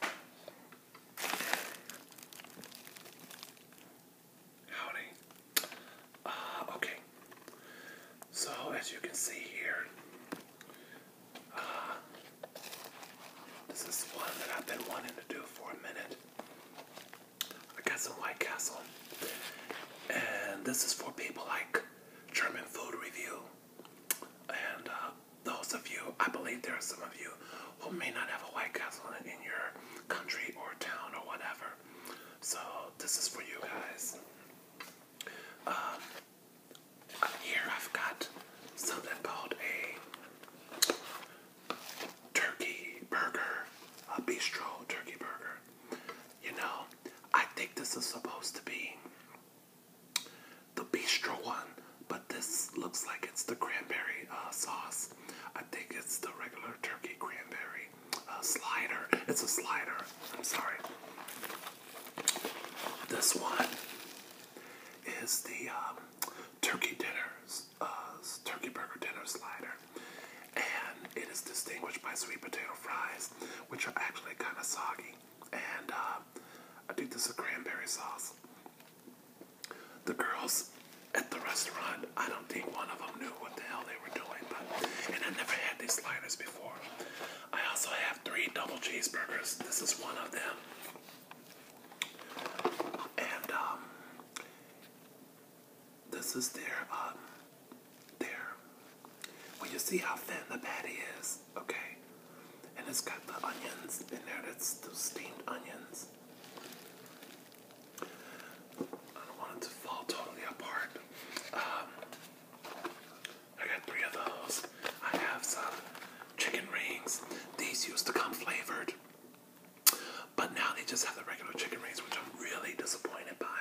Howdy. Uh, okay. So, as you can see here, uh, this is one that I've been wanting to do for a minute. I got some White Castle. And this is for people like German food review and uh, those of you, I believe there are some of you who may not have a White Castle in, your country or town or whatever. So this is for you guys. Um, here I've got something called a turkey burger, a bistro turkey burger. You know, I think this is supposed to be the bistro one, but this looks like it's the cranberry uh, sauce. I think it's the regular turkey cranberry uh, slider. It's a slider. I'm sorry. This one is the um, turkey dinners, uh, turkey burger dinner slider, and it is distinguished by sweet potato fries, which are actually kind of soggy and uh, I think this with cranberry sauce. The girls at the restaurant, I don't think one of them knew what the hell they were doing, but and I never had these sliders before. I also have three double cheeseburgers. This is one of them. And um, this is their um, their when you see how thin the patty is, okay? And it's got the onions in there, that's those steamed onions. I don't want it to fall totally apart. Um, I got three of those. I have some chicken rings. These used to come flavored, but now they just have the regular chicken rings, which I'm really disappointed by.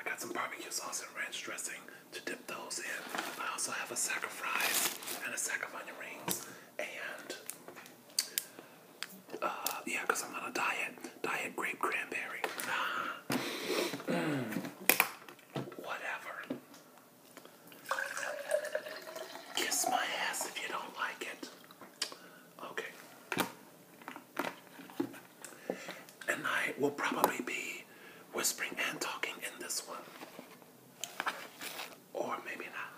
I got some barbecue sauce and ranch dressing to dip those in. I also have a sack and a sack of rings. And uh, yeah, because I'm on a diet. Diet grape cranberry. mm. Whatever. Kiss my ass if you don't like it. Okay. And I will probably be whispering and talking in this one. Or maybe not.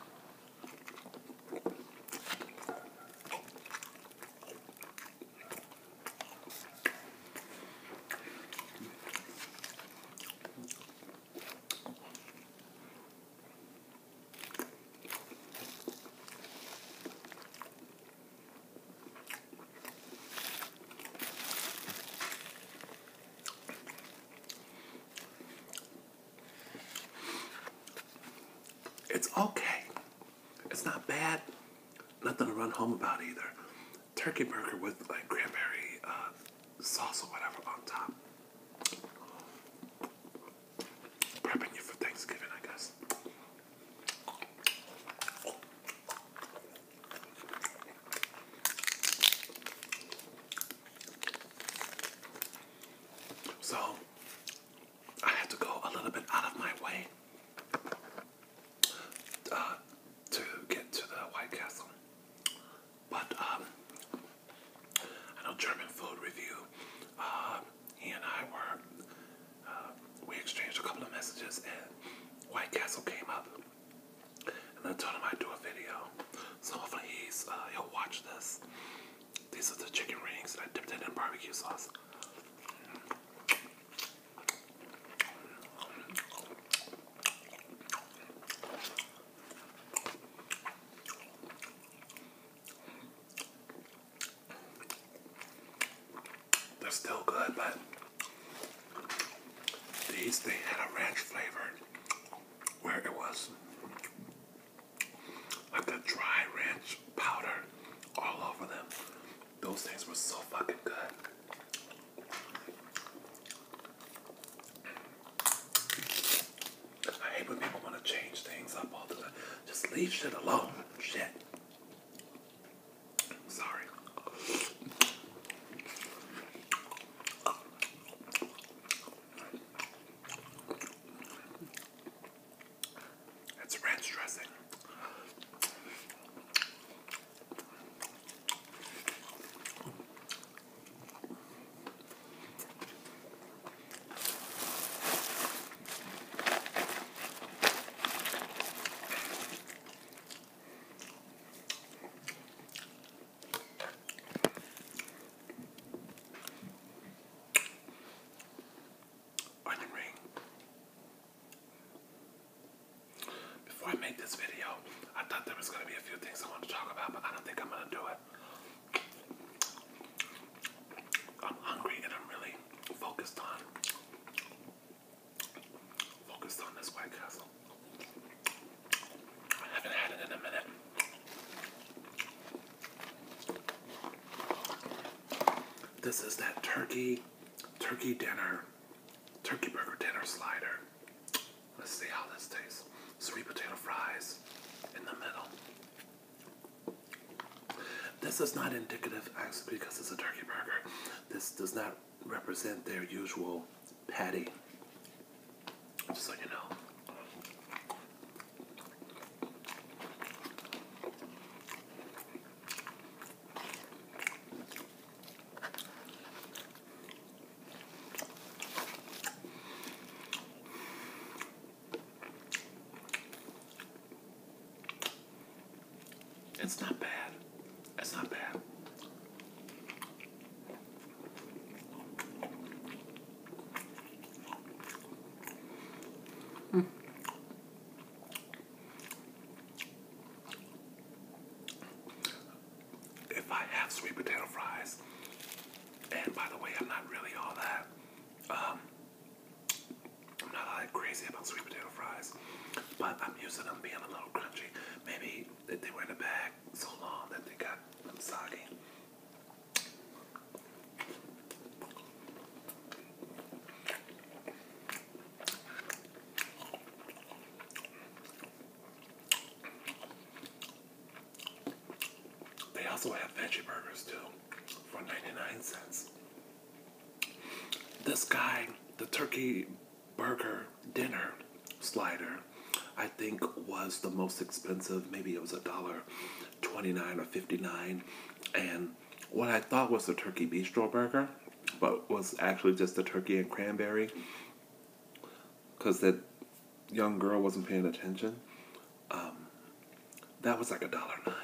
It's okay. It's not bad. Nothing to run home about either. Turkey burger with like cranberry uh, sauce or whatever on top. Prepping you for Thanksgiving, I guess. So I had to go a little bit out of my way uh, to get to the White Castle. But um, I know German food review. Uh, he and I were um, we exchanged a couple of messages, and White Castle came up. And I told him I'd do a video. So hopefully he's, uh, he'll watch this. These are the chicken rings that I dipped it in barbecue sauce. They're still good, but these they had a ranch flavor where it was like a dry ranch powder all over them. Those things were so fucking good. I hate when people want to change things up all the time. Just leave shit alone. Shit. Sorry. It's ranch dressing. Or the Before I made this video, I thought there was going to be a few things I wanted to talk about, but I don't think I'm going to do it. I'm hungry and I'm really focused on focused on this White Castle. I haven't had it in a minute. This is that turkey, turkey dinner, turkey burger dinner slider. Let's see how this tastes. Sweet potato fries in the middle. This is not indicative, actually, because it's a turkey burger. This does not represent their usual patty. so you know. It's not bad. It's not bad. Mm. If I have sweet potato fries, and by the way, I'm not really all that um, I'm not like crazy about sweet potato fries, but I'm used to them being a little crunchy. Maybe they were in the bag so long that they got um, soggy. They also have veggie burgers too for 99 cents. This guy, the turkey burger dinner slider, I think was the most expensive. Maybe it was a dollar 29 or 59. And what I thought was the turkey beef bistro burger, but was actually just the turkey and cranberry because that young girl wasn't paying attention. Um, that was like a dollar nine.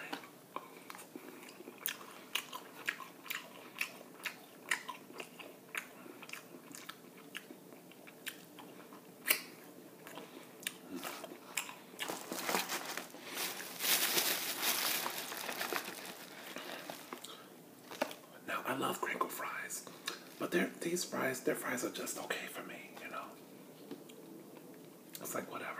Now I love crinkle fries. But they're, these fries, their fries are just okay for me, you know. It's like whatever.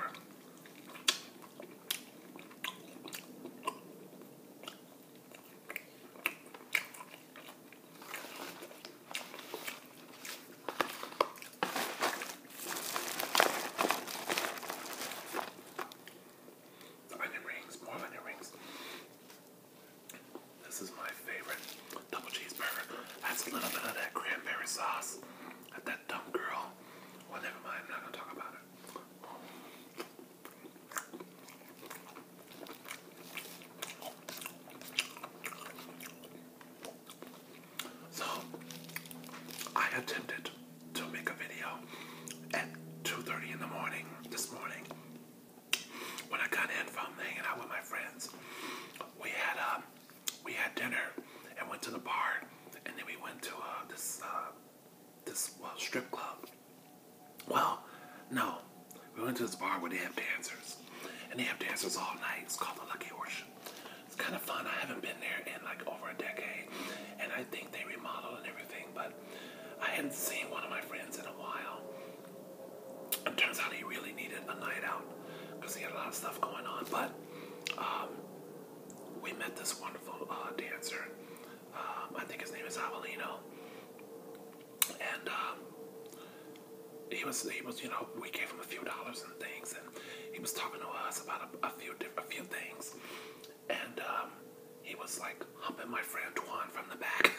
onion rings, more onion rings. This is my favorite double cheeseburger. That's a little bit of that cranberry sauce at that dumb girl. Whatever. never I'm not gonna talk about it. So, I attempted to make a video at 2.30 in the morning this morning when I got in from hanging out with my friends, we had um, we had dinner and went to the bar, and then we went to uh, this uh, this well, strip club. Well, no, we went to this bar where they have dancers, and they have dancers all night. It's called the Lucky Orchard. It's kind of fun. I haven't been there in like over a decade, and I think they remodeled and everything, but I hadn't seen one of my friends in a while. It turns out he really needed a night out because he had a lot of stuff going on. But um, we met this wonderful uh, dancer. Um, I think his name is Avelino, and um, he was he was you know we gave him a few dollars and things, and he was talking to us about a, a few a few things, and um, he was like humping my friend Juan from the back.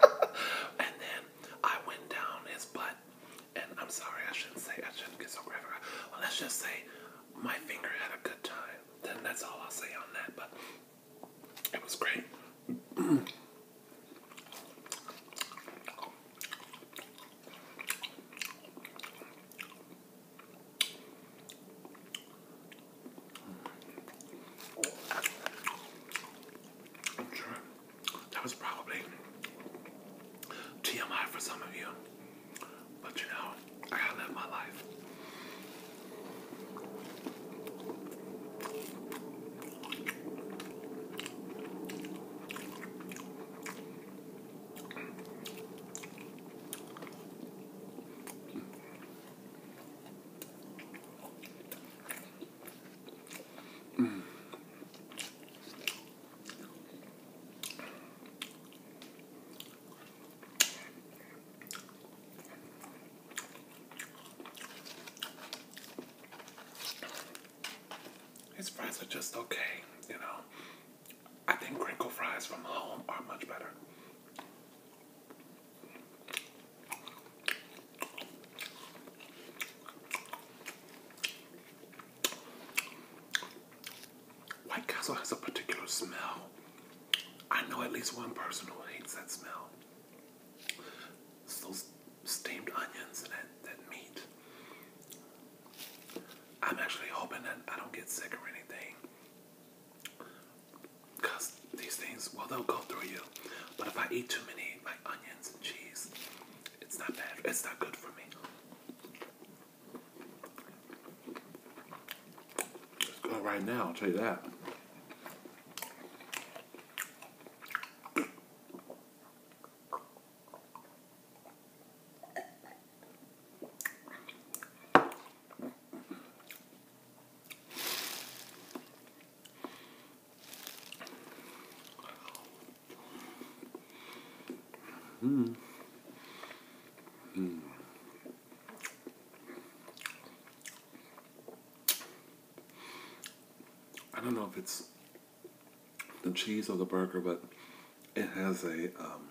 and then I went down his butt. And I'm sorry, I shouldn't say, I shouldn't get so graphic. Well, let's just say my finger had a good time. Then that's all I'll say on that. But it was great that was probably TMI for some of you, but you know, I live my life. Mm. His fries are just okay, you know. I think crinkle fries from home are much better. White Castle has a particular smell. I know at least one person who hates that smell. It's those steamed onions and that, that meat. I'm actually hoping that I don't get sick or anything. Because these things, well, they'll go through you. But if I eat too many, like onions and cheese, it's not bad. It's not good for me. It's good right now, I'll tell you that. Mm. Mm. I don't know if it's the cheese or the burger, but it has a um,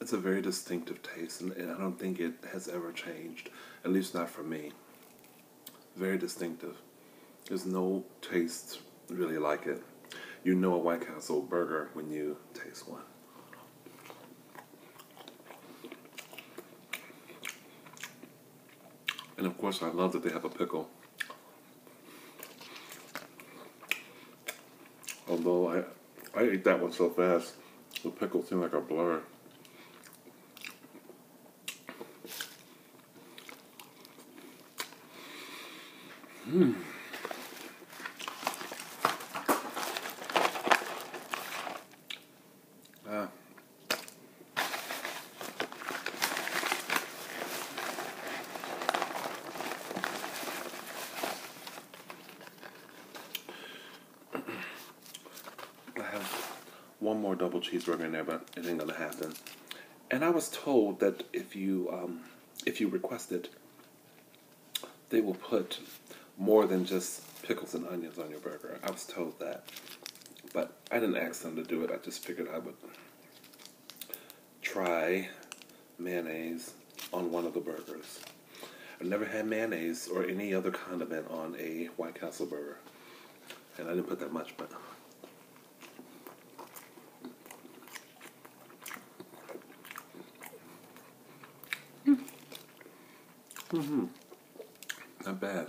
it's a very distinctive taste, and, I don't think it has ever changed, at least not for me. Very distinctive. There's no taste really like it. You know a White Castle burger when you taste one. And of course, I love that they have a pickle. Although I, I ate that one so fast, the pickle seemed like a blur. Hmm. Ah. I have one more double cheeseburger in there, but it ain't gonna happen. And I was told that if you um, if you request it, they will put more than just pickles and onions on your burger. I was told that, but I didn't ask them to do it. I just figured I would try mayonnaise on one of the burgers. I've never had mayonnaise or any other condiment on a White Castle burger. And I didn't put that much, but. Mm. hmm Not bad.